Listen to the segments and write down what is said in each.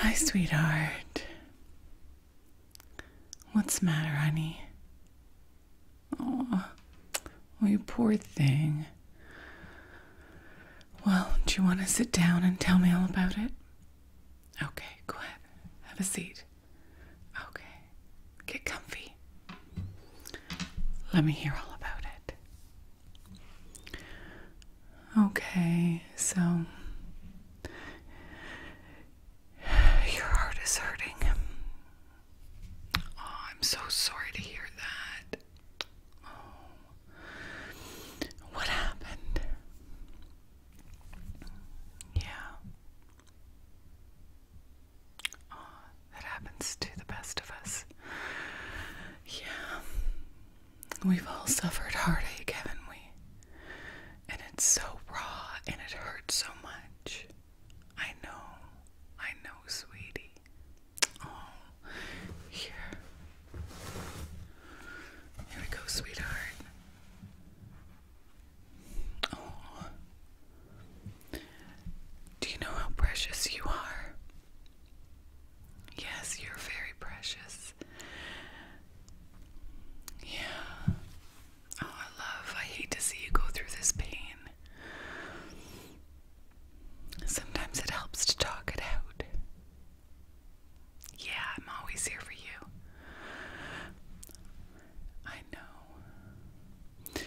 Hi, sweetheart. What's the matter, honey? Oh, you poor thing. Well, do you want to sit down and tell me all about it? Okay, go ahead. Have a seat. Okay, get comfy. Let me hear all about it. Okay, so your heart is hurting. Oh, I'm so sorry to hear that. Oh. what happened? Yeah. Oh, that happens to the best of us. Yeah. We've all suffered heartache, haven't we? And it's so raw and it hurts so much. I know. I know, sweetie. Oh, here. Here we go, sweetheart. Oh. Do you know how precious you are? Yes, you're very precious. Yeah. Oh, I love. I hate to see you go through this pain. Sometimes it helps to talk it out. Yeah, I'm always here for you. I know.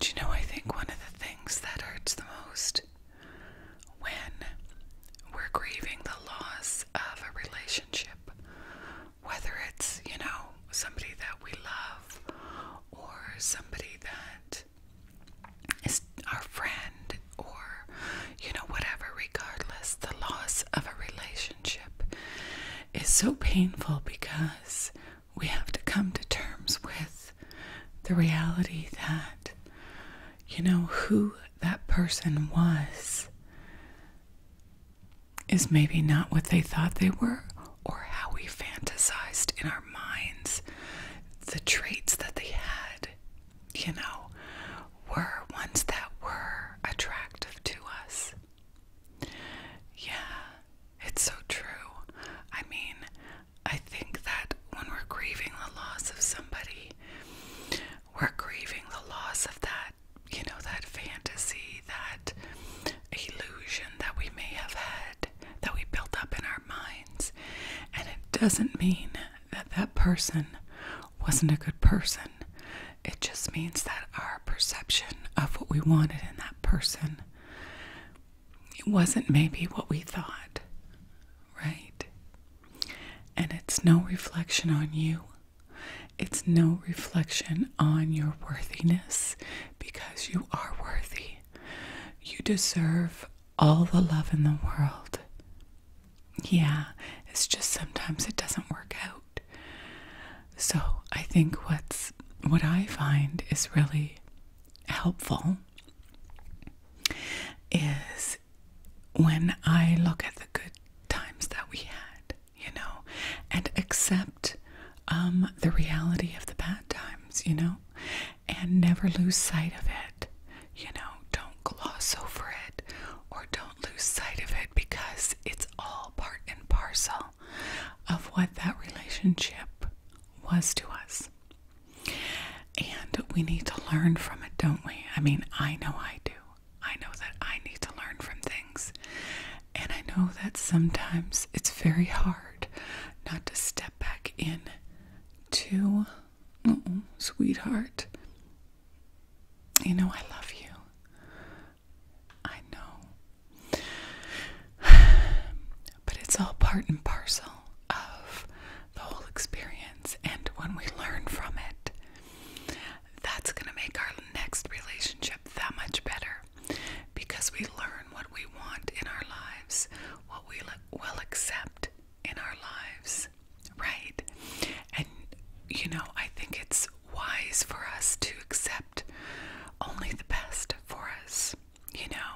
Do you know, I think one of the things that hurts the most when we're grieving the loss of a relationship, whether it's, you know, somebody that we love or somebody that is our friend or, you know, whatever, regardless, the loss of a relationship is so painful because we have to come to terms with the reality that, you know, who that person was is maybe not what they thought they were or how we fantasized in our minds the traits that they had, you know, were ones that were attractive to us. Yeah, it's so true. I mean, I think that when we're grieving the loss of somebody, we're grieving the loss of that, you know, that fantasy, that illusion that we may have had, that we built up in our minds. And it doesn't mean that that person wasn't a good person. It just means that our perception of what we wanted in that person it wasn't maybe what we thought, right? And it's no reflection on you. It's no reflection on your worthiness because you are worthy. You deserve all the love in the world. Yeah, it's just sometimes it doesn't work out. So, I think what's what I find is really helpful is when I look at the good times that we had, you know, and accept um, the reality of the bad times, you know, and never lose sight of it, you know, don't gloss over it or don't lose sight of it because it's all part and parcel of what that relationship was to us. And we need to learn from it, don't we? I mean, I know I do. I know that I need to learn from things. And I know that sometimes it's very hard not to step back in to, oh, sweetheart, you know, I love you. I know. But it's all part and parcel of the whole experience, and when we learn from it, that's going to make our next relationship that much better because we learn what we want in our lives, what we will accept in our lives, right? And you know, I think it's wise for us to accept only the best for us. You know,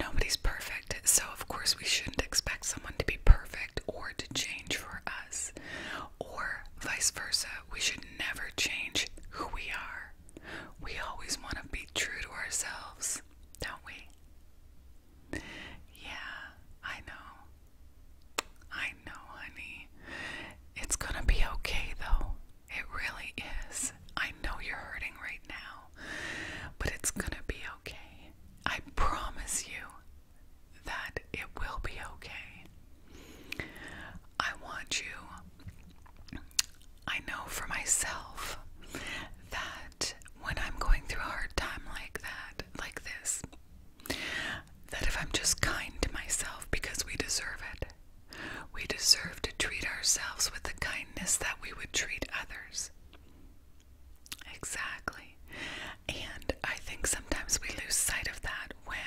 nobody's perfect, so of course we shouldn't expect someone to be perfect or to change for us, or vice versa. We should never change who we are. We always want to be true to ourselves, don't we? Yeah, I know. I know, honey. It's gonna be okay though. It really is. I know you're hurting right now but it's gonna be okay. I promise you that it will be okay. I want you, I know for myself that when I'm going through a hard time like that, like this, that if I'm just kind to myself because we deserve it, we deserve to treat ourselves with the kindness that we would treat others. Exactly. And I think sometimes we lose sight of that when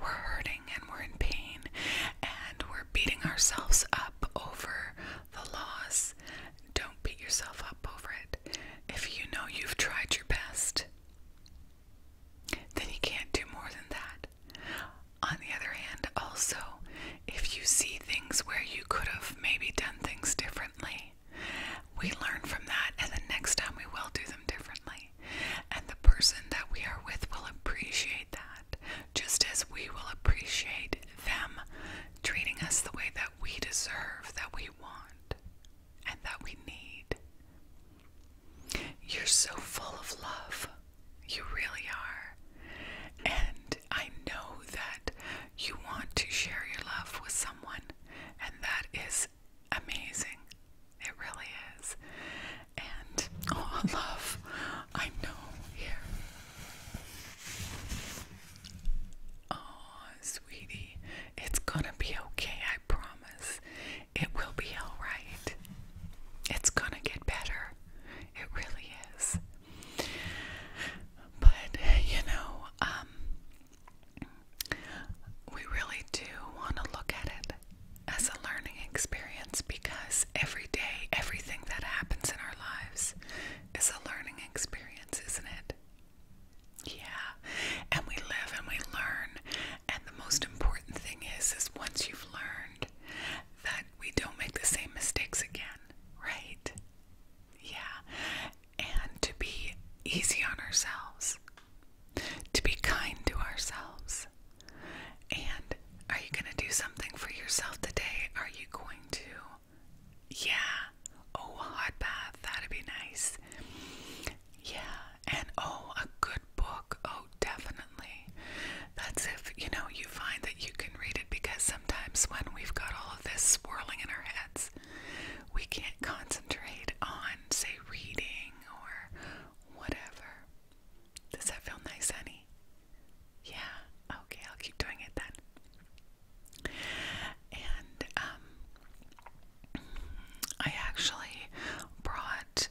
we're hurting and we're in pain and we're beating ourselves up over the loss. Don't beat yourself up over it. If you know you've tried your best, then you can't do more than that. On the other hand, also, if you see things where you could have maybe done things differently, we learn from that, and the next time we will do them differently. And the person that we are with will appreciate that, just as we will appreciate them treating us the way that we deserve, that we want, and that we need. You're so full of love. You really are. And I know that you want to share your love with someone, and that is amazing. It really is. And oh, love, I know here. Oh, sweetie, it's gonna be okay, I promise. It will be alright. It's gonna get better. It really is. But, you know, um, we really do want to look at it as a learning experience because every day, everything that happens in our lives is a learning experience, isn't it? Yeah, and we live and we learn, and the most important thing is, is once you've learned that we don't make the same mistakes again, right? Yeah. And to be easy on ourselves, to be kind to ourselves. And are you going to do something for yourself today? Are you going to? Yeah. Oh, a hot bath. That'd be nice. Yeah. And oh, a good book. Oh, definitely. That's if, you know, you find that you can read it because sometimes when we've got all of this swirling in our heads, we can't concentrate on, say, reading or whatever. Does that feel nice, honey? Yeah, okay, I'll keep doing it then. And um, I actually brought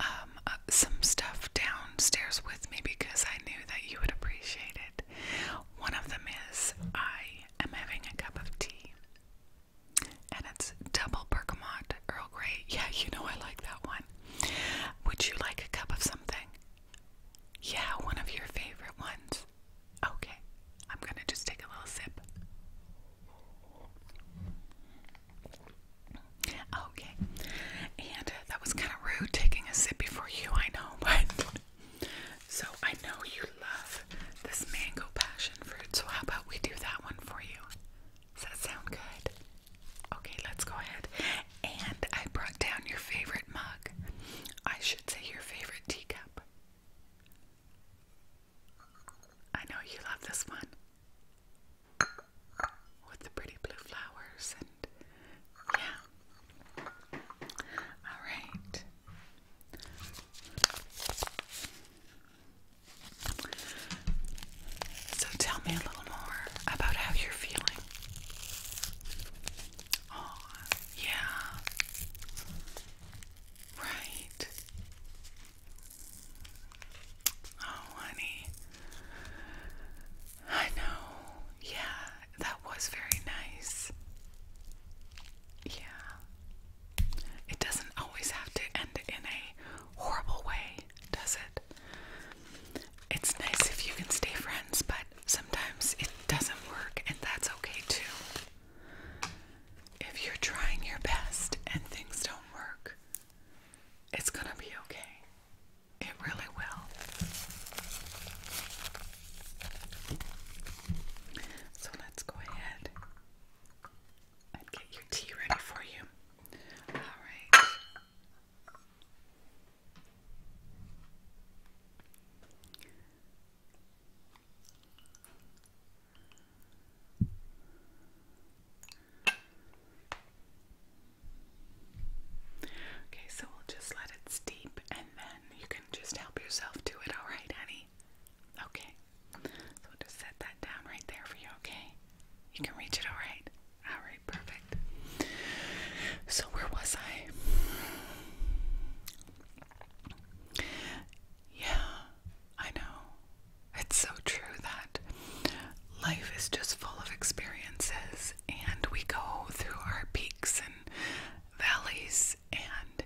um, uh, some stuff downstairs with me because I knew that you would appreciate it. One of them is I am having a cup of tea, and it's double bergamot Earl Grey. Yeah, you know I like that one. Would you like a cup of something? Yeah, one of your favorite ones. Okay, I'm gonna just take a little sip. Okay, and that was kind of rude taking a sip before you, I know, but so I know you love this mango passion fruit, so how about we do that one for you? Does that sound good? Okay, let's go ahead. And I brought down your favorite mug. I should say your favorite teacup. I know you love this one with the pretty blue flowers and yeah. All right. So tell me a little more about how you're feeling. Oh, yeah. Right. Oh, honey. I know. Yeah, that was very nice. Yeah. It doesn't always have to end in a horrible way, does it? It's nice if you can stay friends, but sometimes it doesn't work, and that's okay too. If you're trying your best and things don't work, it's gonna be okay. It really will. So let's go ahead and get your tea ready for you. Okay, so we'll just let it steep and then you can just help yourself to it, alright, honey? Okay. So we'll just set that down right there for you, okay? You can reach it, alright? Alright, perfect. So, where was I? Yeah, I know. It's so true that life is just full of experiences and we go through our peaks and valleys, and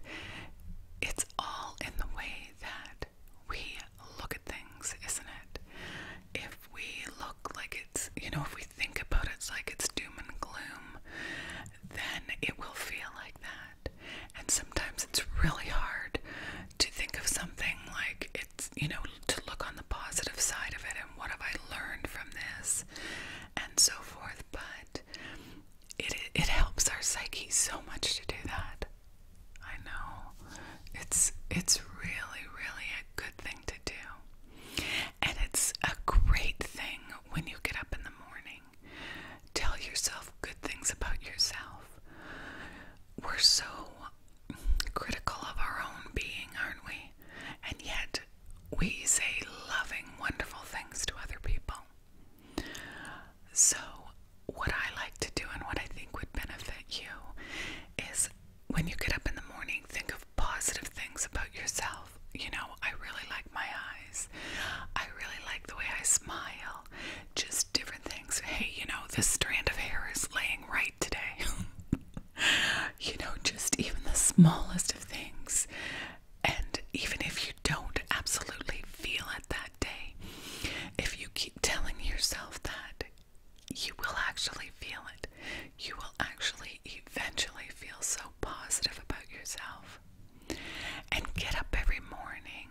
it's all in the way that we look at things, isn't it? If we look like it's, you know, if we think about it's like it's doom and gloom, then it will feel like that. And sometimes it's really hard to think of something like it's, you know, to look on the positive side of it and what have I learned from this and so forth. But it, it helps our psyche so much to do that. I know it's it's really really a good thing to do. And it's a great thing when you get up in the morning. Tell yourself good things about yourself. We're so critical of our own being, aren't we? And yet, we say loving, wonderful things to other people. So, what I like to do and what I think would benefit you is when you get up in the morning, think of positive things about yourself. You know, I really like my eyes, I really like the way I smile, just different things. Hey, you know, this strand of hair is laying right today. you know, just even the smallest of things. And even if you don't absolutely feel it that day, if you keep telling yourself that, you will actually feel it. You will actually eventually feel so positive about yourself. And get up every morning.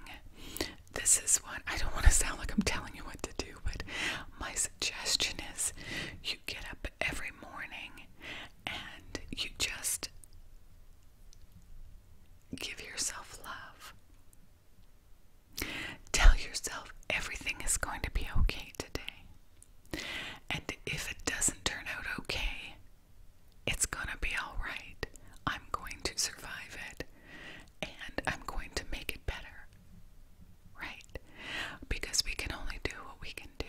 This is what I don't want to sound like I'm telling you what to do, but my suggestion is you get up every morning and you just give yourself love. Tell yourself everything is going to be okay today. And if it doesn't turn out okay, it's going to be all right. I'm going to survive it and I'm going to make it better. Right? Because we can only do what we can do.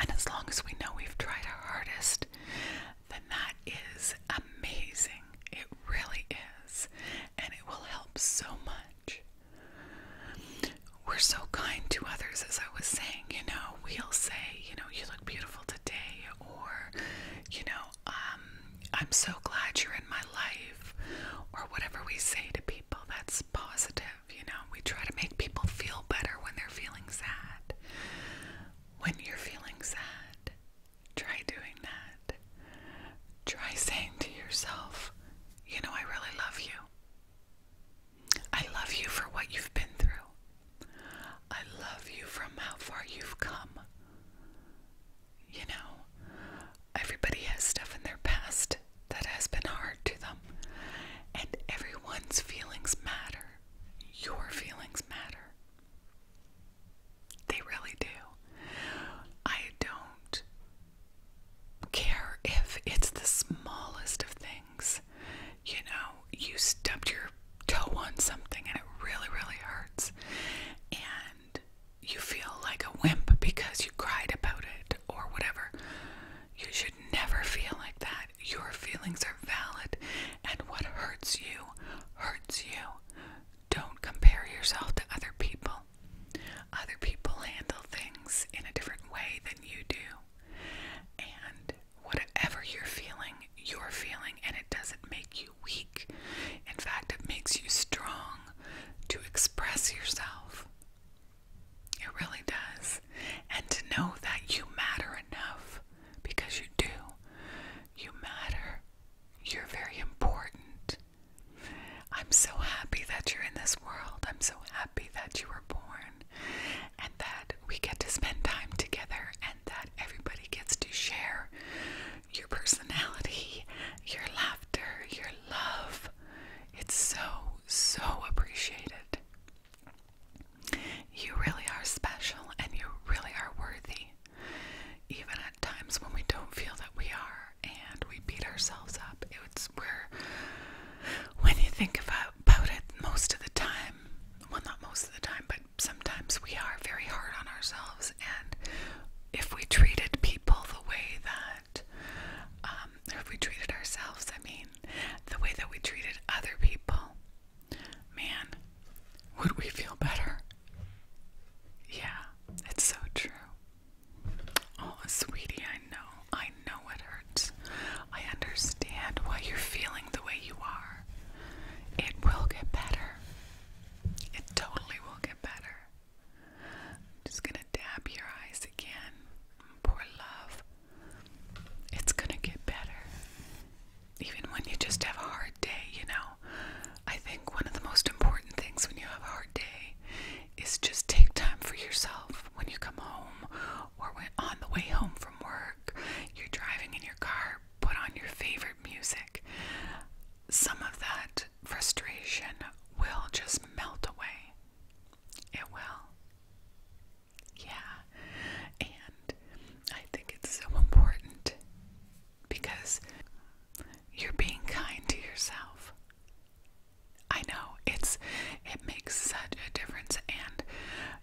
And as long as we know we've tried our hardest, then that is amazing. It really is. And it will help so much. We're so kind to others, as I was saying. You know, we'll say, you know, you look beautiful today, or, you know, um, I'm so glad you're in my life, or whatever we say to people that's positive. You know, we try to make people feel better when they're feeling sad. When you're feeling sad, try doing that. Try saying to yourself, you know, I really love you. I love you for what you've been through. I love you from how far you've come you know, everybody has stuff in their past that has been hard to them, and everyone's feelings matter. Your feelings matter. They really do. I don't care if it's the smallest of things. You know, you stubbed your toe on something and it really, really hurts. And you feel like a wimp because you cried about it or whatever. You should never feel like that. Your feelings are valid, and what hurts you hurts you. Don't compare yourself to other people. Other people handle things in a different way than you do. And whatever you're feeling, you're feeling, and it doesn't make you weak. In fact, it makes you strong to express yourself. It really does. And to know that you matter enough, because you do. You matter. You're very important. I'm so happy that you're in this world. I'm so happy that you were born and that we get to spend time together and that everybody gets to share your personality, your laughter, your love. It's so, so appreciated. You really are special and you really are worthy. Even at times when we don't feel that we are and we beat ourselves up, it's where, when you think about, it, most of the time, well, not most of the time, but sometimes we are very hard on ourselves and if we treated people the way that, um, if we treated ourselves, I mean, the way that we treated other people, man, would we feel better? Yeah, it's so true. Oh, sweetie, I know. I know it hurts. I understand why you're feeling the way you are. It will get better. It totally will get better. just gonna dab your eyes again. Poor love. It's gonna get better. Even when you just have a hard day, you know. I think one of the most important things when you have a hard day is just take time for yourself when you come home or when on the way home from work. You're driving in your car, put on your favorite music. Some of that frustration will just melt away. It will. Yeah. And I think it's so important because you're being kind to yourself. I know it's it makes such a difference and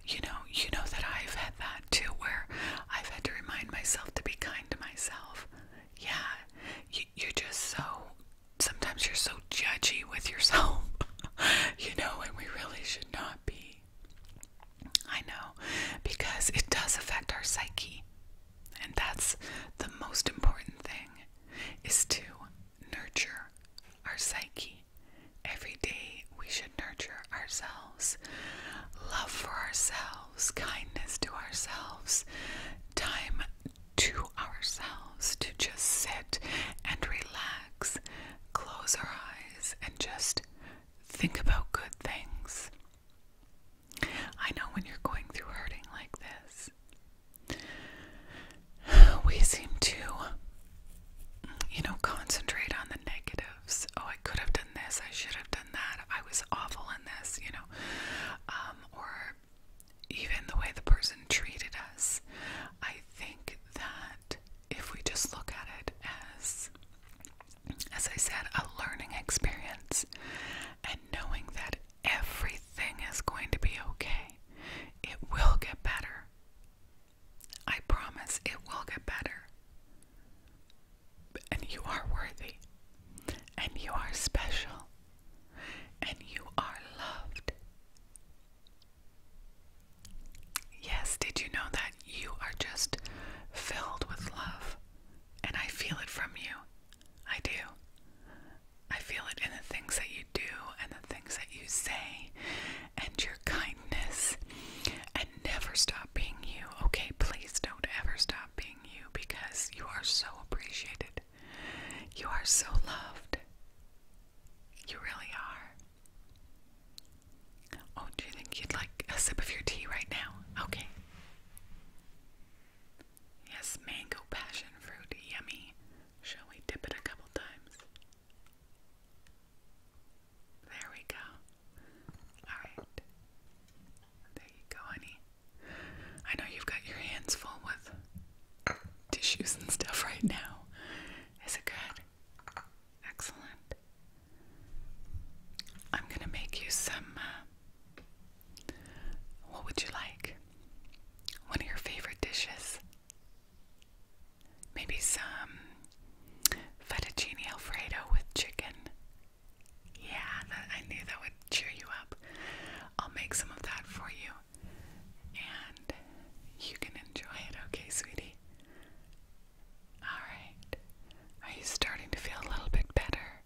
you know, you know that I've had that too where I've had to remind myself to be kind to myself yeah, you, you're just so, sometimes you're so judgy with yourself, you know, and we really should not be. I know, because it does affect our psyche. And that's the most important thing is to nurture our psyche. Every day we should nurture ourselves. Love for ourselves kindness to ourselves, time to ourselves to just sit and relax, close our eyes, and just think about good things. I know when you're going through hurting like this, we seem to, you know, concentrate on the negatives. Oh, I could have done this, I should have done that. I was awful in this, you know. Um, or even the way the person treated us. I think that if we just look at it as, as I said, a learning experience and knowing that everything is going to be okay, it will get better. I promise it will get better. And you are worthy. And you are special. And you are loved. Yes, did you know that you are just filled with love? And I feel it from you. I do. I feel it in the things that you do and the things that you say and your kindness. And never stop being you. Okay, please don't ever stop being you because you are so appreciated. You are so loved. You really are. Oh, do you think you'd like a sip of your tea right now? Okay. Yes, mango passion fruit, yummy. Shall we dip it a couple times? There we go. Alright. There you go, honey. I know you've got your hands full with tissues and stuff right now. Is it good? Excellent. I'm gonna make you some. Uh, what would you like? One of your favorite dishes? Maybe some fettuccine alfredo with chicken. Yeah, I knew that would cheer you up. I'll make some of that for you. And you can enjoy it, okay, sweetie? Alright. Are you starting to feel a little bit better?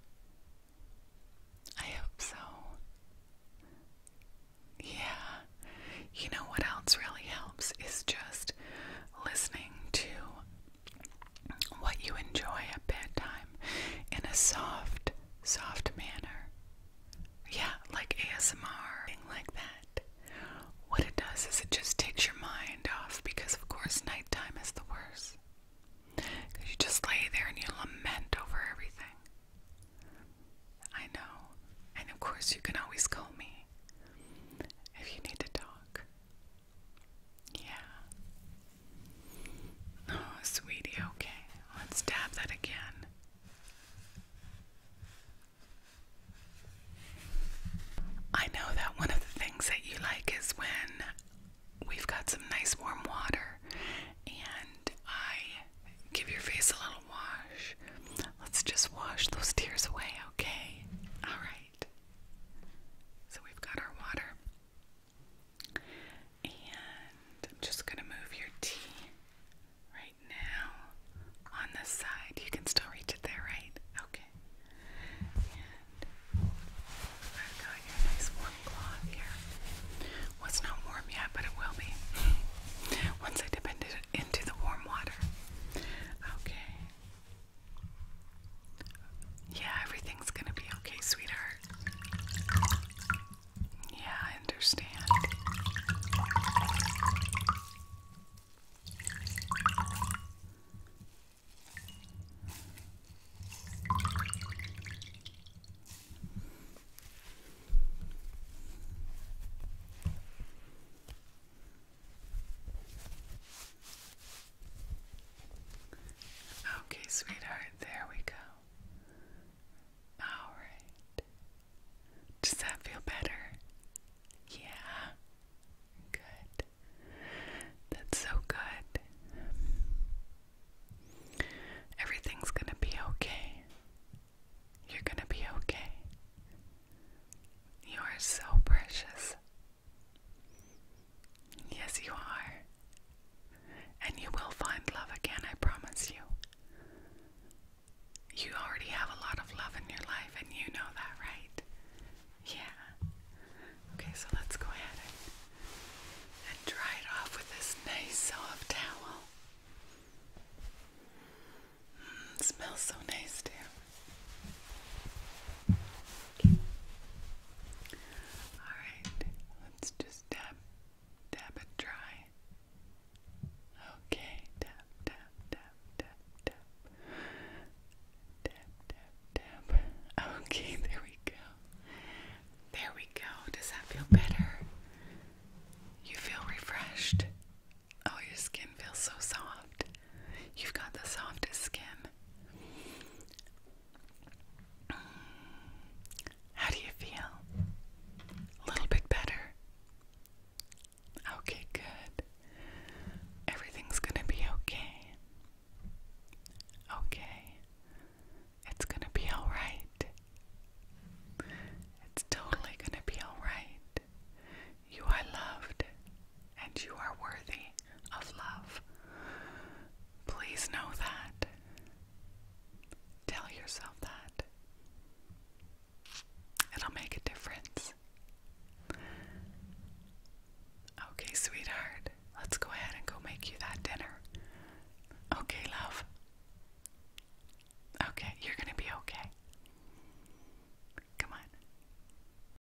I hope so. Yeah. You know what else really helps is just listening to what you enjoy at bedtime in a soft, soft manner. Yeah, like ASMR, thing like that. What it does is it just takes your mind off because, of course, nighttime is the worst. Because you just lay there and you lament over everything. I know. And of course, you can always call me if you need to talk. Yeah. Oh, sweetie, okay. Let's dab that again. I know that one of the things that you like is when we've got some nice warm water and I give your face a little wash. Let's just wash those tears away, okay? All right. So we've got our water. And I'm just going to move your tea right now on the side. You can still reach it there, right? Okay. And have got your nice warm cloth here. Well, not warm yet, but it will be once I dip into, into the warm water. Okay. Yeah, everything's gonna be okay, sweetheart. Yeah, I understand. Okay, sweetheart, there we go. Alright. Does that feel better? Yeah. Good. That's so good. Everything's gonna be okay. You're gonna be okay. You are so precious. Yes, you are. And you will find love again, I promise you. You already have a lot of love in your life, and you know that, right? Yeah. Okay, so let's go ahead and, dry it off with this nice soft towel. Mm, smells so nice, too. All right, let's just dab, dab it dry. Okay, tap, tap, tap, tap, tap, tap, tap, Okay, there we go. There we go. Does that feel better? You feel refreshed. Oh, your skin feels so soft. You've got the softest skin. How do you feel? A little bit better? Okay, good. Everything's gonna be okay. Okay. It's gonna be alright. It's totally gonna be alright. You are loved and you are worthy of love. Please know that. Tell yourself that. It'll make a difference. Okay, sweetheart, let's go ahead and go make you that dinner. Okay, love. Okay, you're gonna be okay. Come on.